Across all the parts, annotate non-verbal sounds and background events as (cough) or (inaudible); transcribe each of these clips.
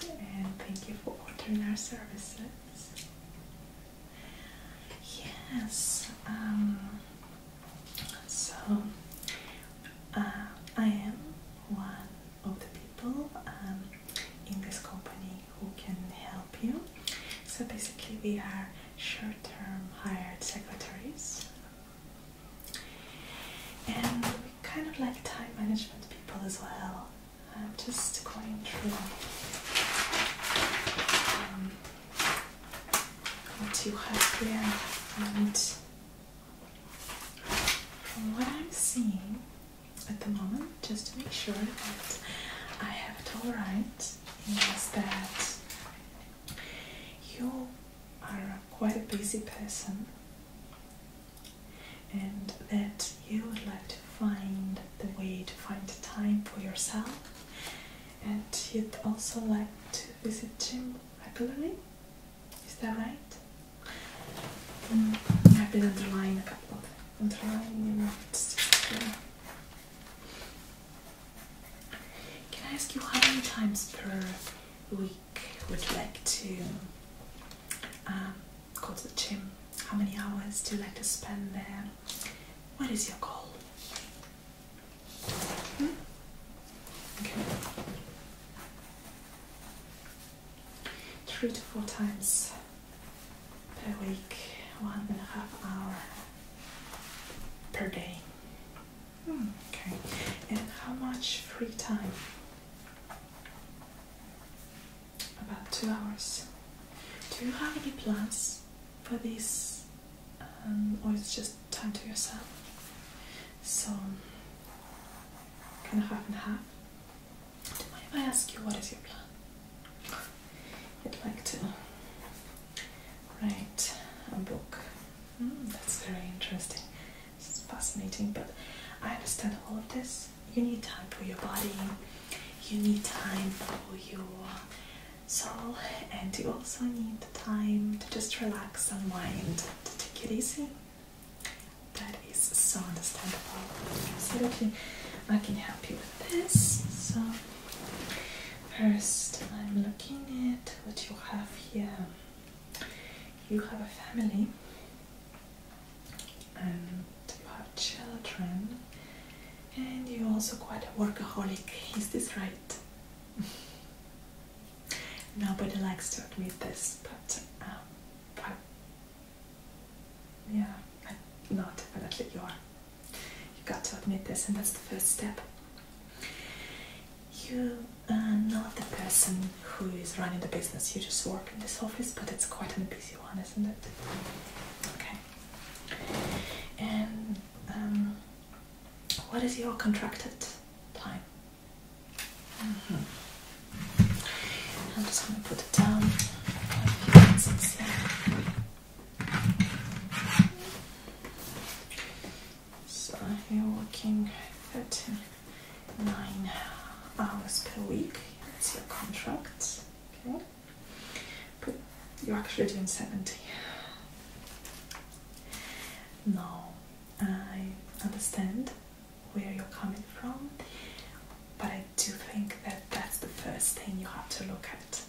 and thank you for ordering our services. Yes, um, so uh, I am one of the people um, in this company who can help you. So basically, we are short term hired secretaries. And we kind of like time management people as well. I'm just going through um, what you and from what I'm seeing at the moment, just to make sure that I have it all right, is that you are quite a busy person and that you would like to find the way to find time for yourself and you'd also like to visit gym regularly is that right mm, i've been underlining a couple of underlying can i ask you how many times per week would you like to um, go to the gym, how many hours do you like to spend there, what is your goal? Hmm? Three to four times per week, one and a half hour per day. Hmm, okay. And how much free time about two hours. Do you have any plans for this, um, or is it just time to yourself? So, kind of half and half. Do you if I ask you what is your plan? You'd like to write a book. Hmm, that's very interesting. This is fascinating, but I understand all of this. You need time for your body, you need time for your soul, and you also need time to just relax and wind, to take it easy. That is so understandable. Absolutely, I can help you with this. So, first, I'm looking at what you have here. You have a family and about children. And you're also quite a workaholic, is this right? (laughs) Nobody likes to admit this, but, um, yeah, not definitely you are. You got to admit this, and that's the first step you are not the person who is running the business. You just work in this office, but it's quite an busy one, isn't it? Okay. And um, what is your contracted time? Mm-hmm. i just going to put it down. So you're working 39 hours per week. That's your contract. Okay. But you're actually doing 70. Now, I understand where you're coming from, but I do think that that's the first thing you have to look at.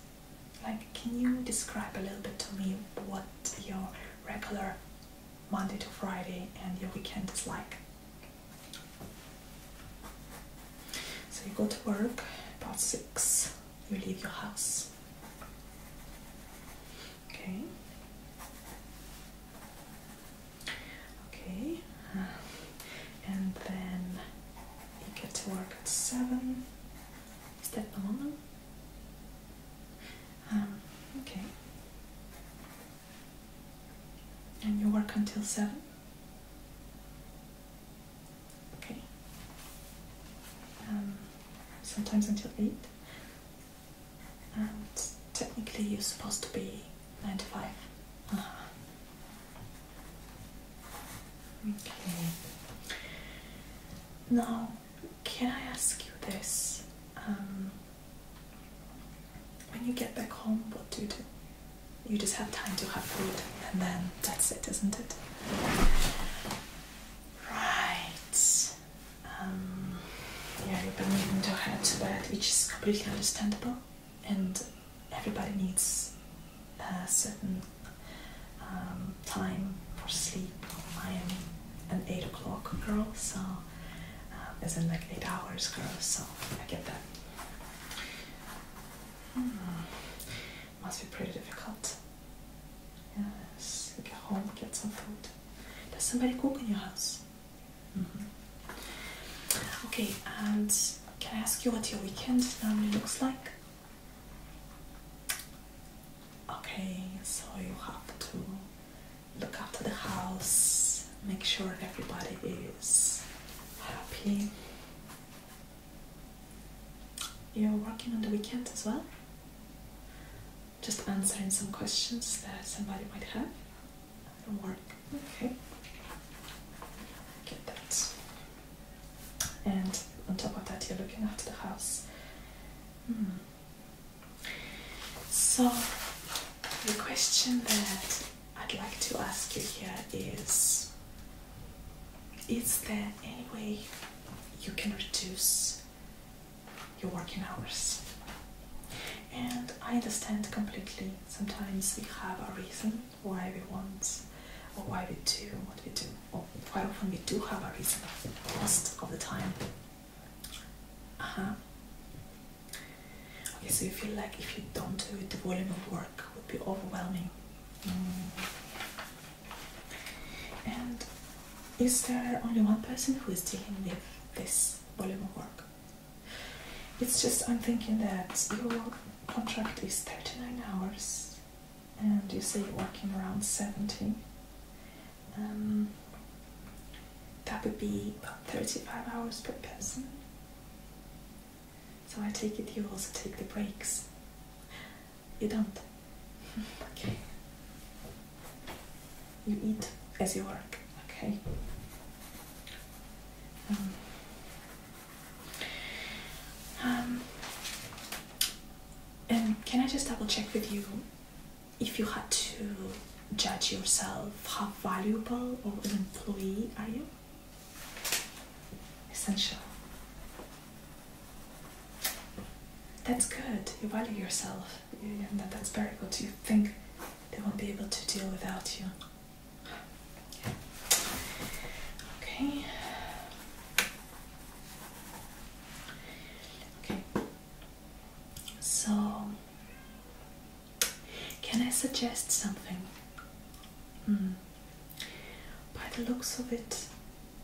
Like, can you describe a little bit to me what your regular Monday to Friday and your weekend is like. So you go to work about six, you leave your house. Okay. Okay. Uh, and then you get to work at seven. Is that normal? Um, okay. And you work until seven? Okay. Um, sometimes until eight. And technically you're supposed to be ninety-five. to uh-huh. Okay. Now, can I ask you this? Um, when you get back home, what do you do? You just have time to have food, and then that's it, isn't it? Right. Um, yeah, you've been needing to head to bed, which is completely understandable, and everybody needs certain um, time for sleep. I am an eight o'clock girl, so um, as in like eight hours girl, so I get that. Hmm. Must be pretty difficult. Yes, get home, get some food. Does somebody cook in your house? Mm-hmm. Okay, and can I ask you what your weekend normally looks like? Okay, so you have to look after the house, make sure everybody is happy. You're working on the weekend as well? Just answering some questions that somebody might have. work. Okay. Get that. And on top of that, you're looking after the house. Hmm. So, the question that I'd like to ask you here is Is there any way you can reduce your working hours? And I understand completely sometimes we have a reason why we want or why we do what we do or quite often we do have a reason most of the time. Uh-huh. Okay, so you feel like if you don't do it, the volume of work would be overwhelming. Mm. And is there only one person who is dealing with this volume of work? It's just I'm thinking that your contract is 39 hours and you say you working around 70, um, that would be about 35 hours per person. So I take it you also take the breaks. You don't. (laughs) okay. You eat as you work. Okay. um, um and um, can I just double check with you if you had to judge yourself how valuable or an employee are you? Essential. That's good. You value yourself. And that's very good. You think they won't be able to deal without you. Okay. Okay. So, can I suggest something? Hmm. By the looks of it,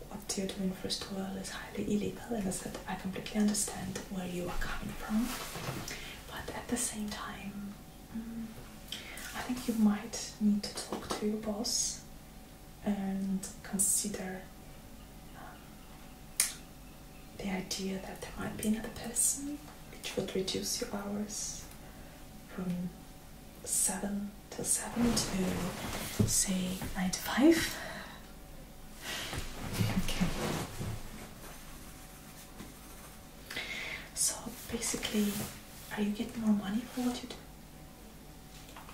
what you're doing, first of all, is highly illegal, and I said I completely understand where you are coming from, but at the same time, hmm, I think you might need to talk to your boss and consider um, the idea that there might be another person, which would reduce your hours from 7 till 7 to say 9 to 5. Okay. So basically, are you getting more money for what you do?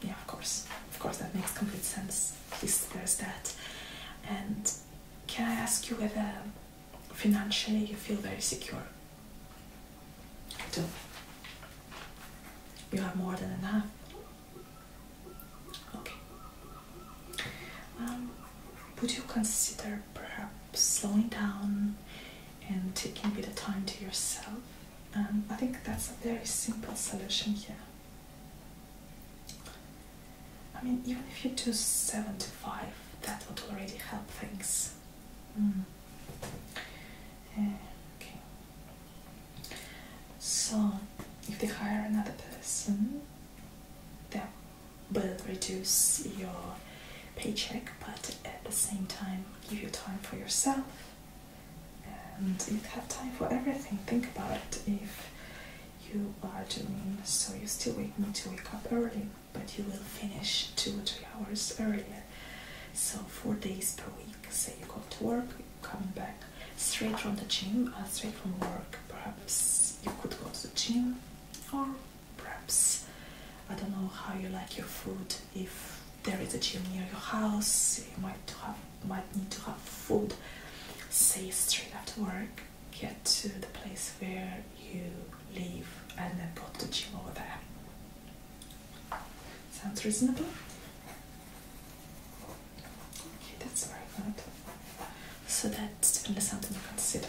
yeah, of course, of course, that makes complete sense. At there's that. And can I ask you whether financially you feel very secure? do. You have more than enough. Okay. Um, would you consider perhaps slowing down and taking a bit of time to yourself. Um, I think that's a very simple solution here. I mean, even if you do 75, that would already help things. Mm. Eh, okay. So, if they hire another person, that will reduce your paycheck, but at the same time, give you time for yourself and you have time for everything. Think about it if you are doing so you still need to wake up early, but you will finish two or three hours earlier. So four days per week. Say you go to work, come back straight from the gym uh, straight from work. Perhaps you could go to the gym or perhaps I don't know how you like your food if there is a gym near your house, you might have might need to have food. Say straight after work, get to the place where you live, and then put the gym over there. Sounds reasonable? Okay, that's very good. So that's definitely something to consider.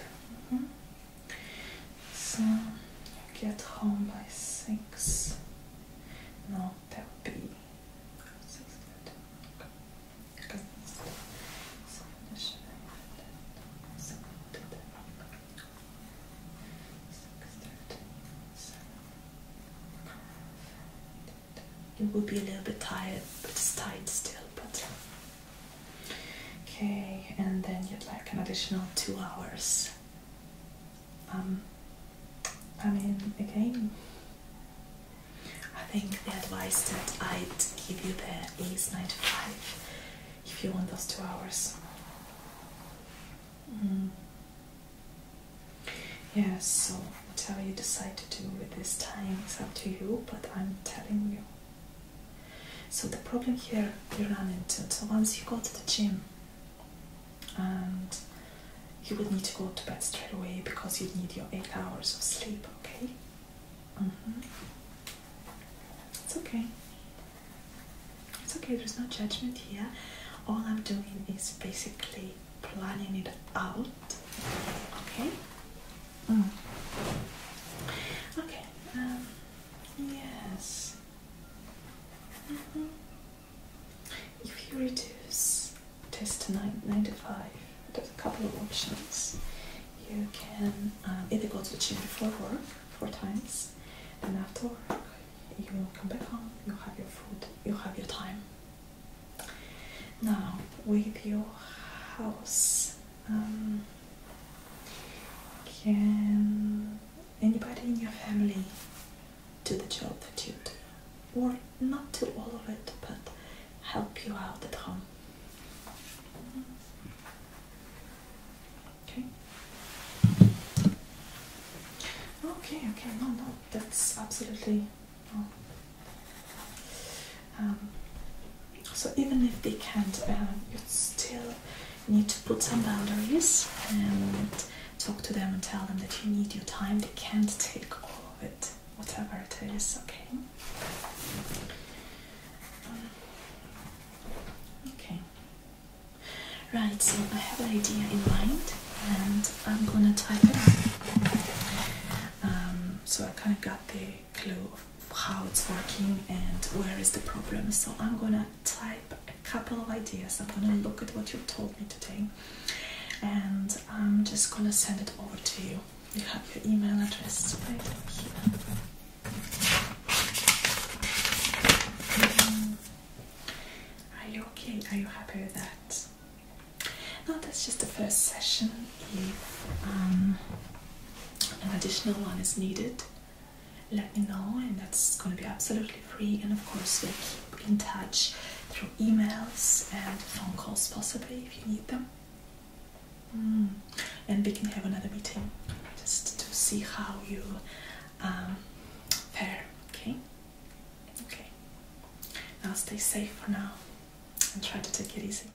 Mm-hmm. So I get home by six. No, that would be six. I will be a little bit tired, but it's tight still, but Okay, and then you'd like an additional two hours. Um, I mean, again, I think the advice that I'd give you there is 95 if you want those two hours. Mm. Yes. so whatever you decide to do with this time is up to you, but I'm telling you so the problem here you ran into, so once you go to the gym and you would need to go to bed straight away because you need your eight hours of sleep, okay? Mm-hmm. It's okay. It's okay, there's no judgment here. All I'm doing is basically planning it out, okay? Mm. Okay, um, Yes. Mm-hmm. If you reduce test nine, 95, there's a couple of options. You can um, either go to the gym before work four times, and after work, you come back home, you have your food, you have your time. Now, with your house um, can anybody in your family do the job that you do? Or not do all of it, but help you out at home? Okay. Okay, okay, no, no, that's absolutely um, so even if they can't, uh, you still need to put some boundaries and talk to them and tell them that you need your time. They can't take all of it, whatever it is. Okay. Okay. Right. So I have an idea in mind, and I'm gonna type it. Um, so I kind of got the clue of how it's working and where is the problem. So I'm gonna type a couple of ideas. I'm gonna look at what you told me today and I'm just gonna send it over to you. You have your email address right here. Mm-hmm. are you okay? Are you happy with that? No, that's just the first session. If um, an additional one is needed, let me know, and that's going to be absolutely free. And of course, we will keep in touch through emails and phone calls, possibly if you need them. Mm. And we can have another meeting just to see how you pair. Um, okay. Okay. Now stay safe for now, and try to take it easy.